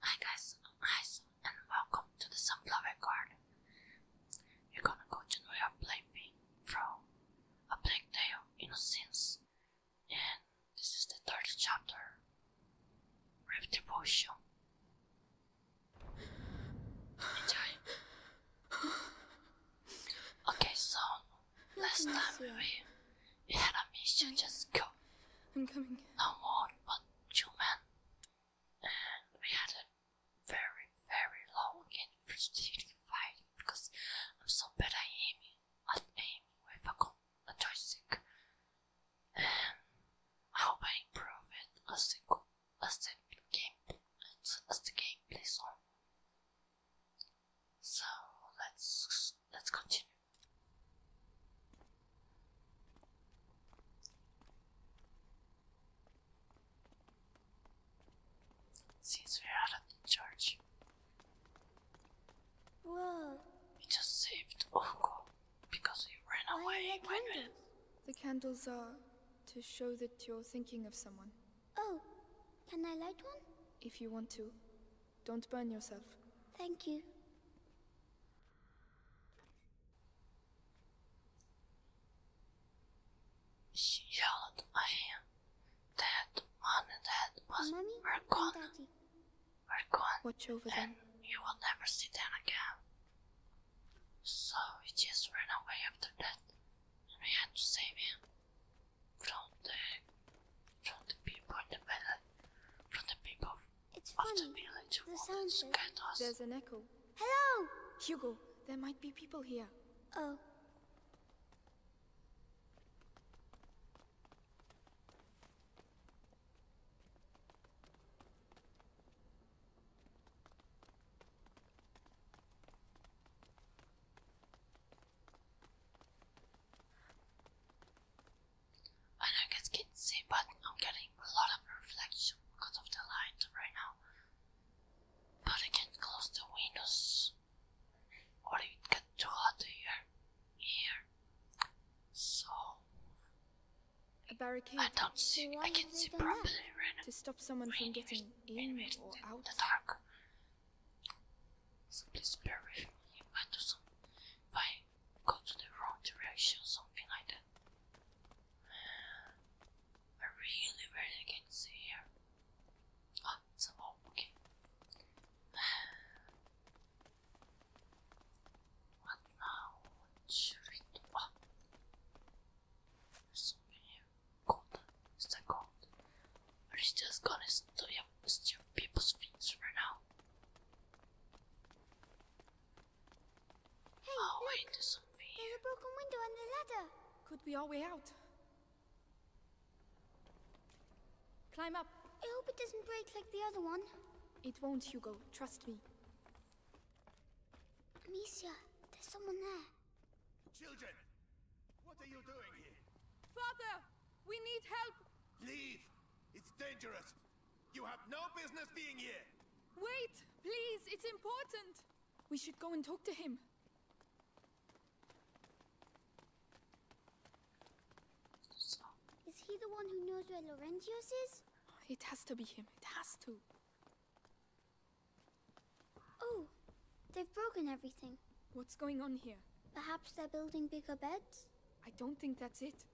Hi guys, I'm and welcome to the Sunflower Garden. You're gonna continue to New York from A Black Day of Innocence and this is the third chapter, Rift Enjoy. Okay, so last time we, we had a mission, just go. I'm coming. No more, but Gentlemen, and we had a very, very long and frustrating fight because I'm so bad at aiming, at aiming with a, a joystick. And I hope I improve it as the game as the game plays on. So let's let's continue. Since we are not in charge, Whoa! we just saved Ongo because he ran Why are away candles? The candles are to show that you're thinking of someone. Oh, can I light one? If you want to, don't burn yourself. Thank you. She yelled at him that one, and one, was, Mommy were gone. We're gone. Watch over and You will never sit down again. So he just ran away after that, and we had to save him from the from the people in the valley, from the people it's funny. The, the There's an echo. Hello! Hugo, there might be people here. Oh. I know you guys can't see, but I'm getting a lot of reflection because of the light right now. But I can't close the windows, or it get too hot here. Here, so a barricade. I don't see. So I can see properly right now. To stop someone from getting in rain, or out. The dark. So please bear with me go to the wrong direction, something like that. I really, really can't see here. Ah, it's okay. What now? should we do? Ah, something here. Gold. Is that gold? Or it's just gonna stay it's most people's feet right now. oh, wait, there's something here. There's a broken window and the ladder. Could be our way out. Climb up. I hope it doesn't break like the other one. It won't, Hugo. Trust me. Amicia, there's someone there. Children, what are you doing here? Father, we need help. Leave. It's dangerous. You have no business being here! Wait! Please, it's important! We should go and talk to him. Is he the one who knows where Laurentius is? It has to be him. It has to. Oh, they've broken everything. What's going on here? Perhaps they're building bigger beds? I don't think that's it.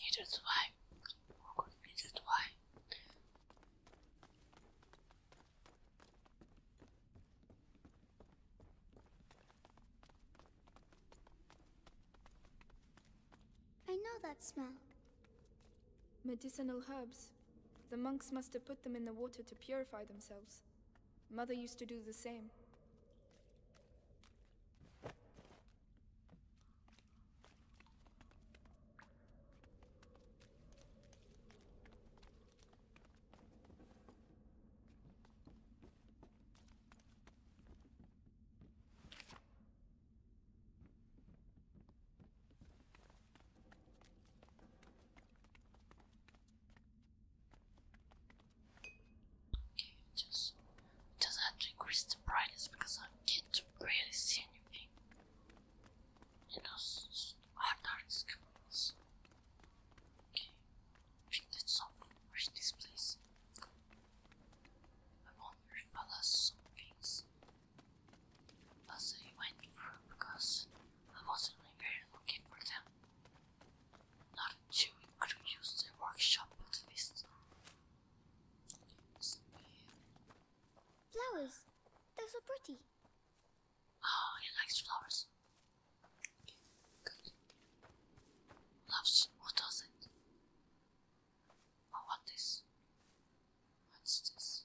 Needed why? Oh, needed I know that smell. Medicinal herbs. The monks must have put them in the water to purify themselves. Mother used to do the same. Okay, just just have to increase the brightness because I can't really see anything. You know, hard dark scales. Okay, think that's all. Where's this place? I wonder if I lost some things as I went through because I wasn't really looking for them. Not a Jew could workshop at least. Flowers! They're so pretty. Oh, he likes flowers. Loves who does Oh, what What's this?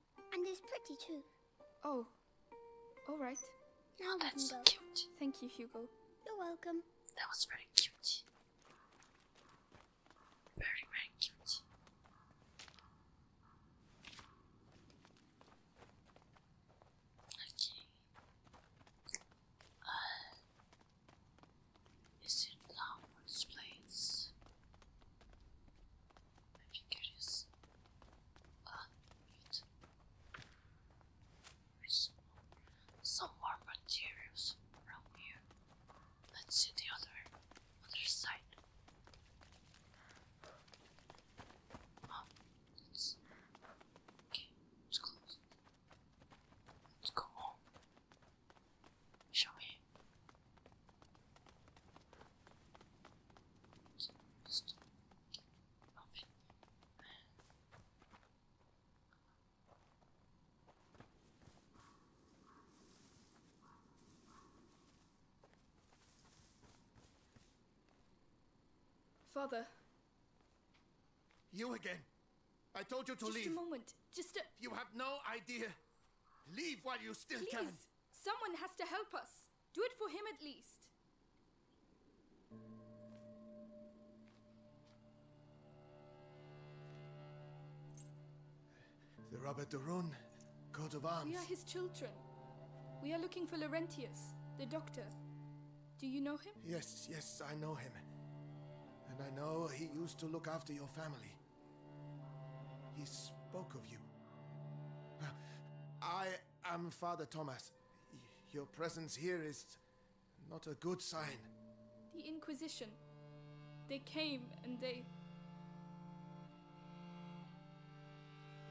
And it's pretty too. Oh. Alright. Now we That's go. cute. Thank you, Hugo. You're welcome. That was very cute. Very, very cute. Okay. Uh, is it love for place? my finger is Some, more materials from here. Let's see the other other side. Oh, it's okay. Let's go home. Show me. Nothing. Father. You again. I told you to leave. Just a moment. Just a. You have no idea. Leave while you still Please. can. Someone has to help us. Do it for him at least. The Rabbit Darun, coat of arms. We are his children. We are looking for Laurentius, the doctor. Do you know him? Yes, yes, I know him. And I know he used to look after your family. He spoke of you. I am Father Thomas. Your presence here is not a good sign. The Inquisition. They came and they.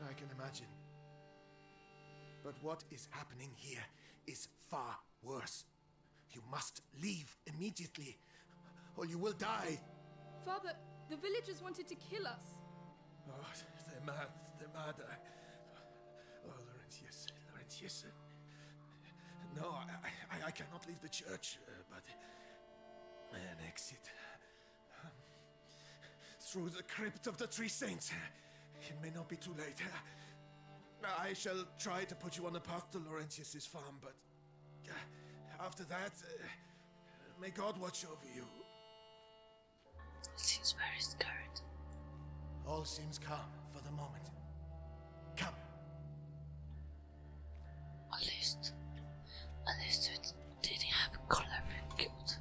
I can imagine. But what is happening here is far worse. You must leave immediately or you will die. Father, the villagers wanted to kill us. Oh, they're mad. They're mad. Oh, Laurentius, Laurentius. No, I, cannot leave the church, uh, but an exit. Um, through the crypt of the Three Saints. It may not be too late. I shall try to put you on the path to Laurentius's farm, but uh, after that, uh, may God watch over you. All seems very scared. All seems calm for the moment. Come. At least, at least it didn't have Colin killed.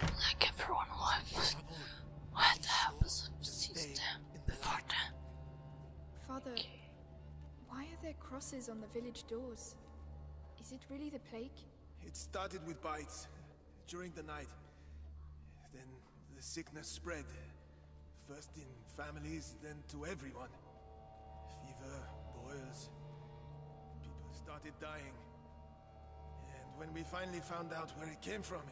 Like everyone who was, what happened since then, before then. Father. Okay. Why are there crosses on the village doors? Is it really the plague? It started with bites during the night. Then the sickness spread. First in families, then to everyone. Fever, boils. People started dying. And when we finally found out where it came from,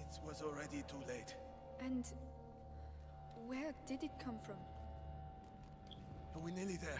it was already too late. And where did it come from? Are oh, we nearly there?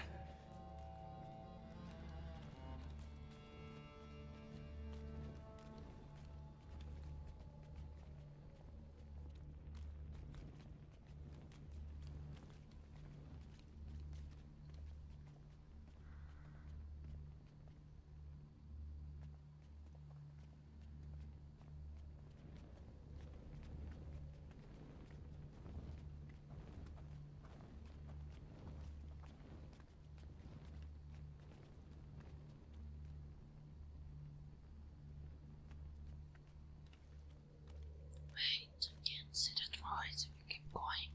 Wait, I can't see that twice if you keep going.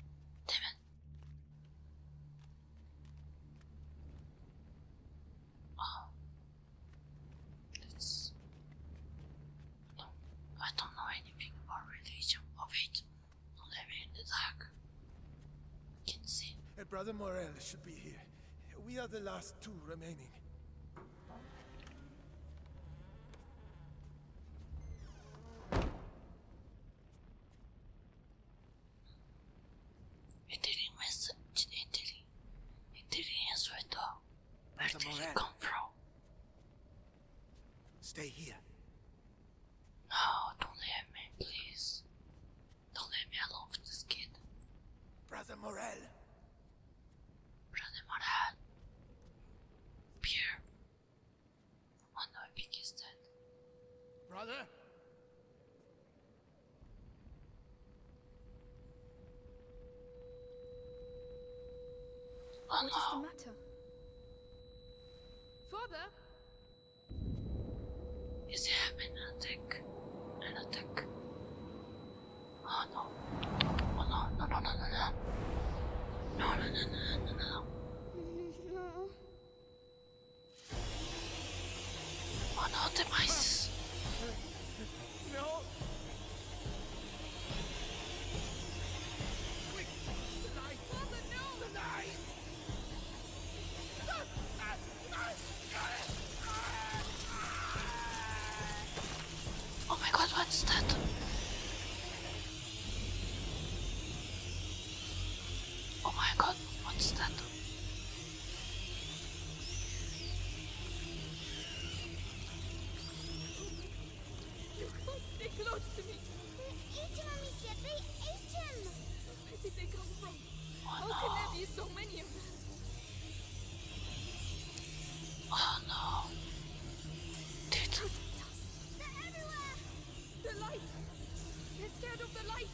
Damn um, let No, I don't know anything about religion of it. I'm in the dark. I can see. Brother Morel should be here. We are the last two remaining. It didn't mess Where did it come from? Stay here. No, don't leave me, please. Don't leave me alone with this kid. Brother Morel. Brother Morel. Pierre. I think he's dead. Brother? Oh no. What's the matter? Father? Is there an attack? An attack? Oh no. Oh no, no, no, no, no, no. No, no, no, no, no, no. Oh no, demise. No. Quick, the knife. no. Oh my god, what's that? Oh my god, what's that? You can't stay close to me. Eat him, Amicia. They ate him. Where did they come from? How can there be so many of them? Oh no. Dude. They're everywhere. The light. They're scared of the light.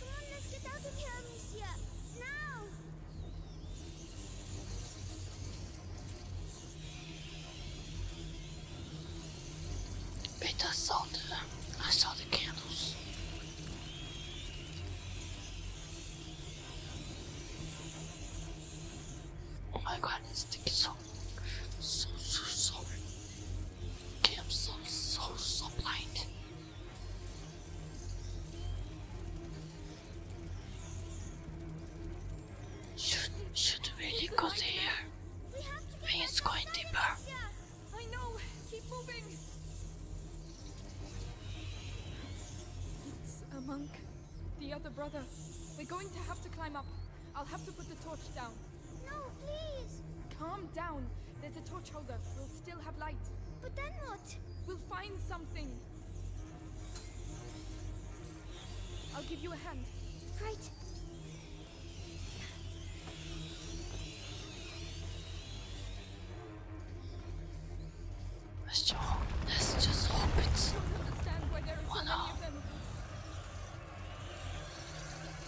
Come on, let's get out of here, Amicia. Now! Peter saw the... I saw the candles. Oh my god, this thing is so... So, so, so... Okay, I'm so, so, Should, should we really go there? I going deeper. It's a monk. The other brother. We're going to have to climb up. I'll have to put the torch down. No, please! Calm down. There's a torch holder. We'll still have light. But then what? We'll find something. I'll give you a hand. Right. Let's just hope, it's one so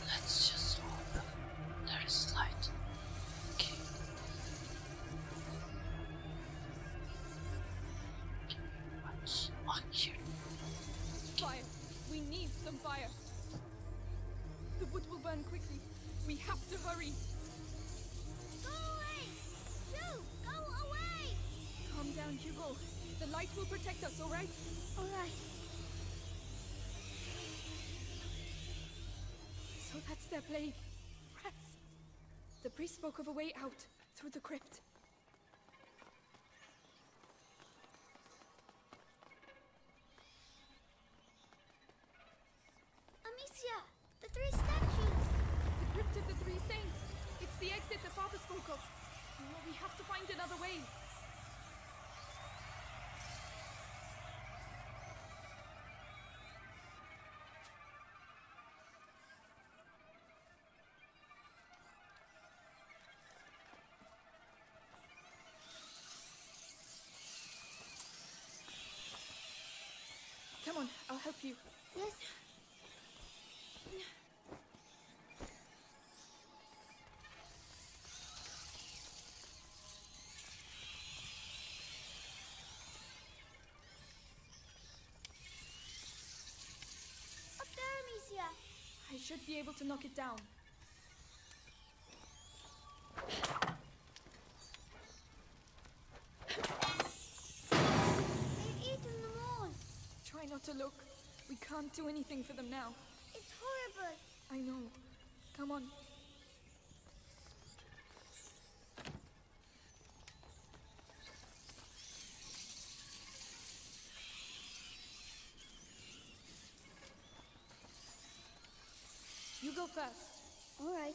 Let's just hope. There is light. Okay. okay. What's Fire. We need some fire. The wood will burn quickly. We have to hurry. Go away! You! Go away! Calm down, Hugo. The light will protect us, alright? Alright. So that's their plague. The priest spoke of a way out through the crypt. Amicia! The three statues! The crypt of the three saints! It's the exit the father spoke of! we have to find another way! Come on, I'll help you. Yes. I should be able to knock it down. They've eaten them all. Try not to look. We can't do anything for them now. It's horrible. I know. Come on. You go first. All right.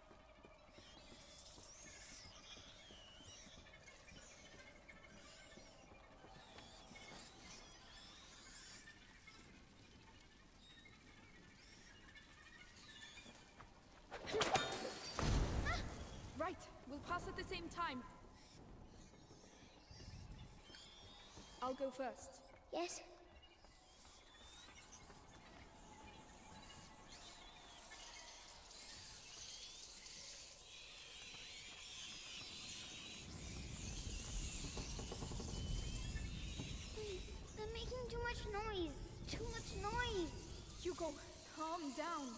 Ah, right, we'll pass at the same time. I'll go first. Yes, too much noise! Too much noise! Hugo, calm down.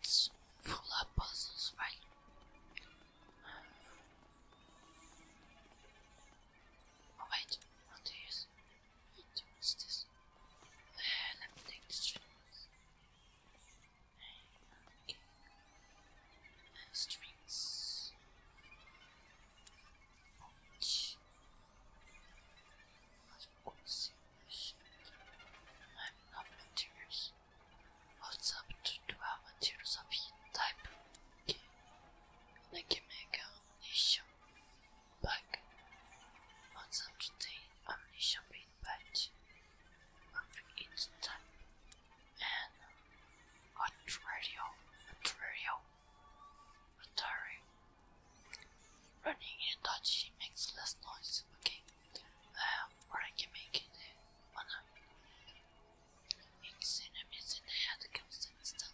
It's full of puzzles, right? Oh, wait, what is? this? let me take this. Okay. strings of course English. I'm of materials. Holds up to 12 materials of each type. Okay. And I can make an ammunition pack. Holds up to 10 ammunition feed patch of each type. And a trail, a trail retiring. Running and touching makes less noise. Okay, um, or I can make it uh, It's enemies in the head comes and stuff.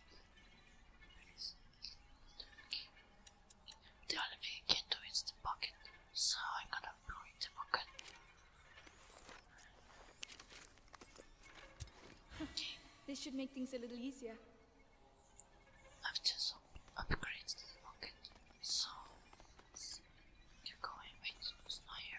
Okay. The only thing you can do is the pocket, so I'm gonna ruin the pocket. Okay. This should make things a little easier. I've just upgraded the rocket, so you're going. Wait, it's not here.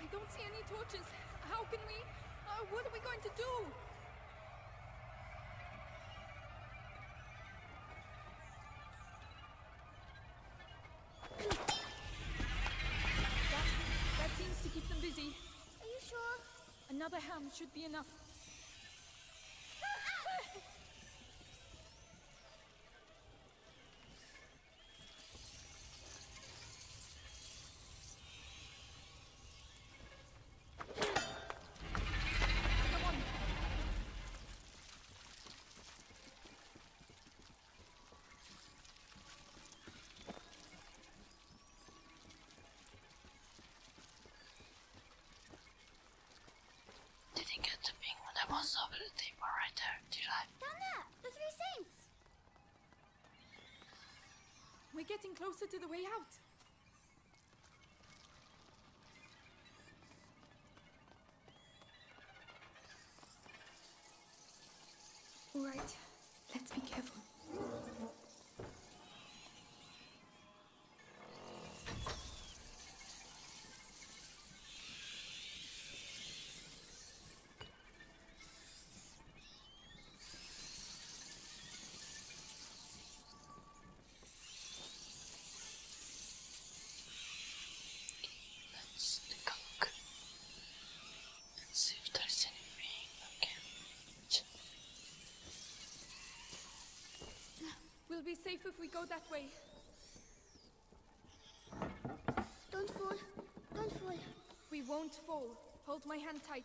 I don't see any torches. How can we... Uh, what are we going to do? that seems to keep them busy. Are you sure? Another ham should be enough. did you get the thing I was over the table right there, did I? the three saints! We're getting closer to the way out. All right, let's be careful. Let's cook and see if there's anything I can We'll be safe if we go that way. Don't fall. Don't fall. We won't fall. Hold my hand tight.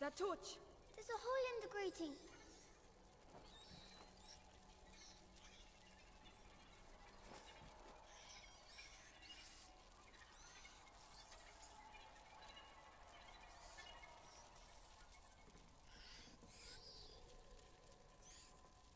That torch! There's a hole in the grating.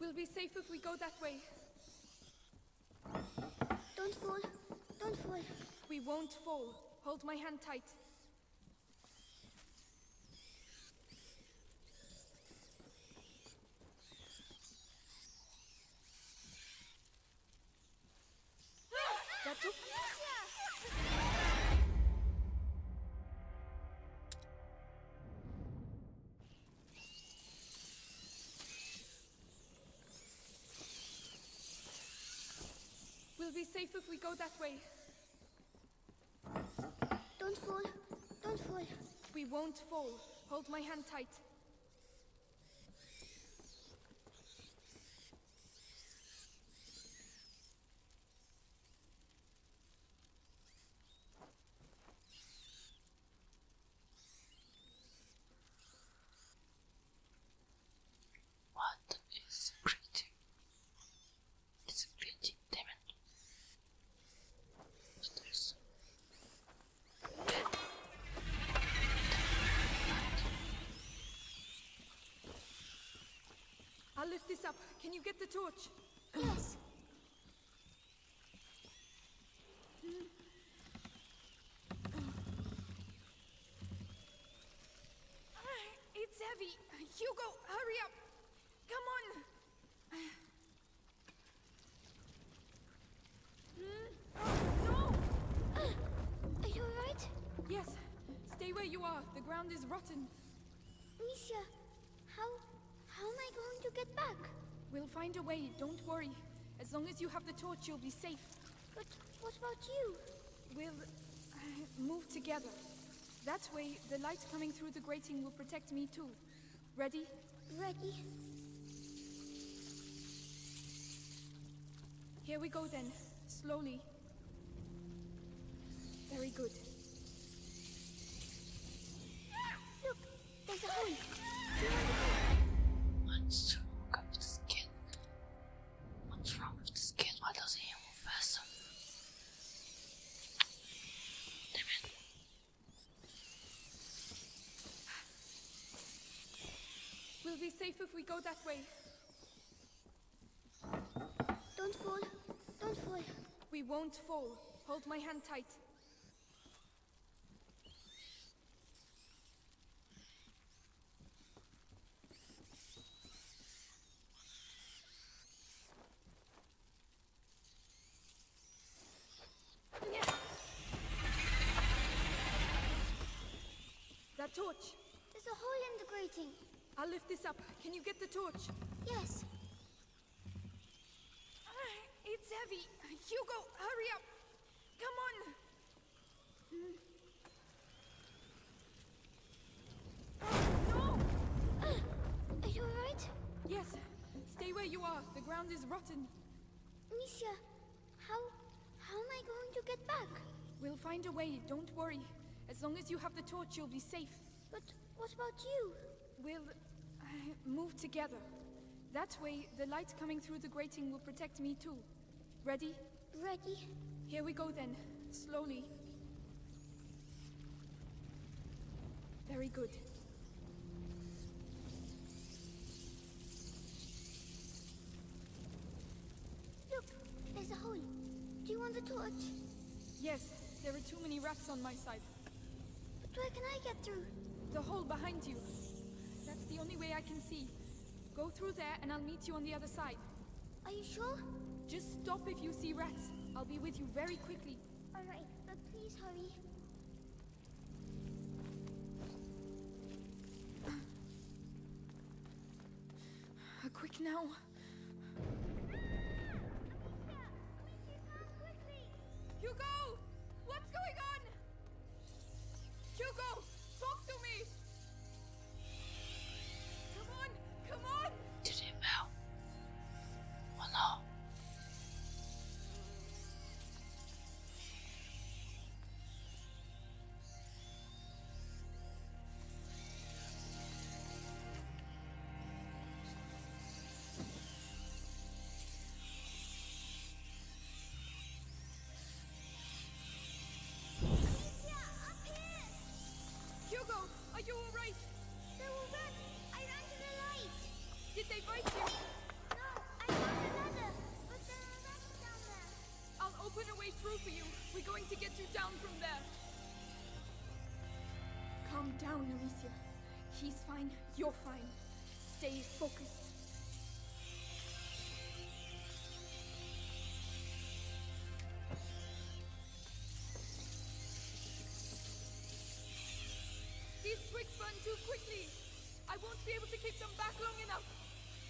We'll be safe if we go that way. Don't fall. Don't fall. We won't fall. Hold my hand tight. Ah! That's okay. We'll be safe if we go that way. Don't fall. Don't fall. We won't fall. Hold my hand tight. What is greeting? It's a greeting, damn I'll lift this up. Can you get the torch? Yes. Uh, it's heavy. Hugo, hurry up. Come on. Mm. Oh, no! Uh, are you alright? Yes. Stay where you are. The ground is rotten. Misha, how... how am I going to get back? We'll find a way, don't worry. As long as you have the torch, you'll be safe. But what about you? We'll... Uh, move together. That way, the light coming through the grating will protect me too. Ready? Ready. Here we go then. Slowly, very good. Look, there's a hole. What's wrong with the skin? What's wrong with the skin? Why doesn't it move faster? We'll be safe if we go that way. Don't fall. Don't fall. We won't fall. Hold my hand tight. That torch! There's a hole in the grating. I'll lift this up. Can you get the torch? Yes. it's heavy. Hugo, hurry up. Come on. no! are you alright? Yes. Stay where you are. The ground is rotten. Misha, how... how am I going to get back? We'll find a way. Don't worry. As long as you have the torch, you'll be safe. But what about you? We'll uh, move together. That way, the light coming through the grating will protect me too. Ready? Ready. Here we go then. Slowly. Very good. Look, there's a hole. Do you want the torch? Yes, there are too many rats on my side. But where can I get through? The hole behind you. That's the only way I can see. Go through there and I'll meet you on the other side. Are you sure? Just stop if you see rats. I'll be with you very quickly. Alright, but please hurry. Quick now. Hugo! What's going on? Hugo! Talk to me! Come on! Come on! Did it fail? Oh no! Are you alright? There were rats! I ran to the light! Did they bite you? No, I found another, but there are rats down there. I'll open a way through for you. We're going to get you down from there. Calm down, Alicia. He's fine. You're fine. Stay focused. These twigs burn too quickly. I won't be able to kick them back long enough.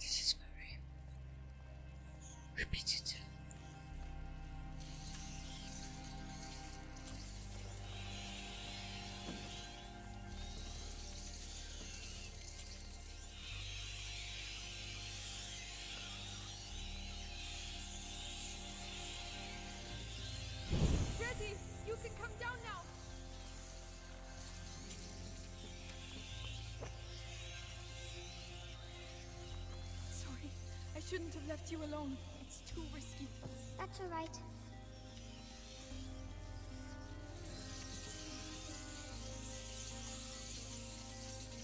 This is very repetitive. Ready! You can come down now! Sorry, I shouldn't have left you alone. It's too risky. That's alright.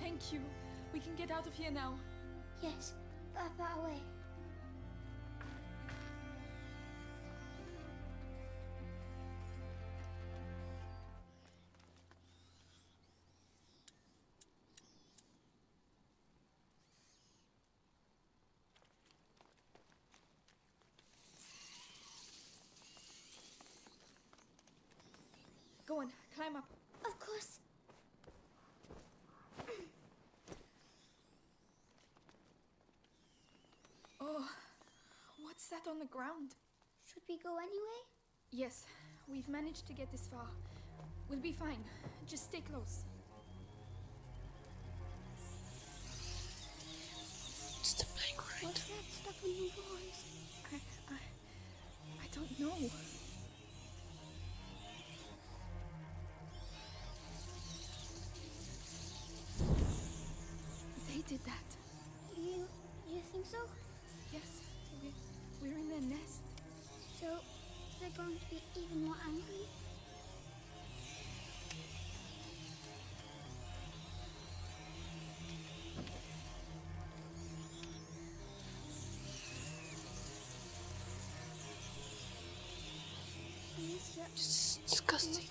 Thank you. We can get out of here now. Yes, far, far away. Go on, climb up. Of course. Oh, what's that on the ground? Should we go anyway? Yes, we've managed to get this far. We'll be fine. Just stay close. It's the playground. Right? What's that stuff in the walls? I, I, I don't know. They did that that. You you think so? Yes. We, are in their nest. So they're going to be even more angry? Please it's disgusting.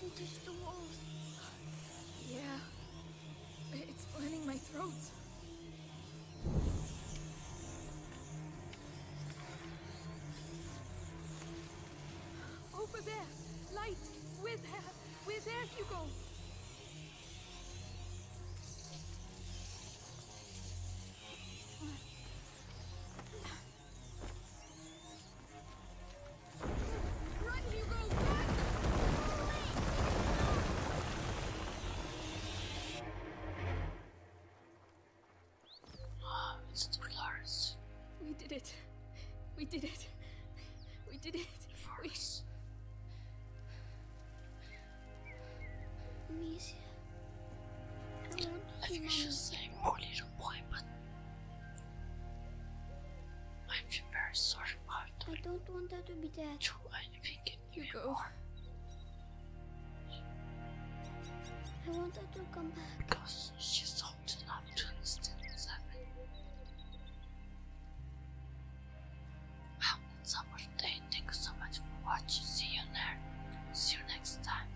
Yeah. It's burning my throat. Over there. Light. With her. With her, Oh, it's We did it. We did it. We did it. We... Amicia. I, I think I should say poor little boy, but I feel very sorry for her. I don't want her to be dead. Do anything you I want her to come back. Because she's old enough to understand what's happening. Well, that's day. Thank you so much for watching. See you next time.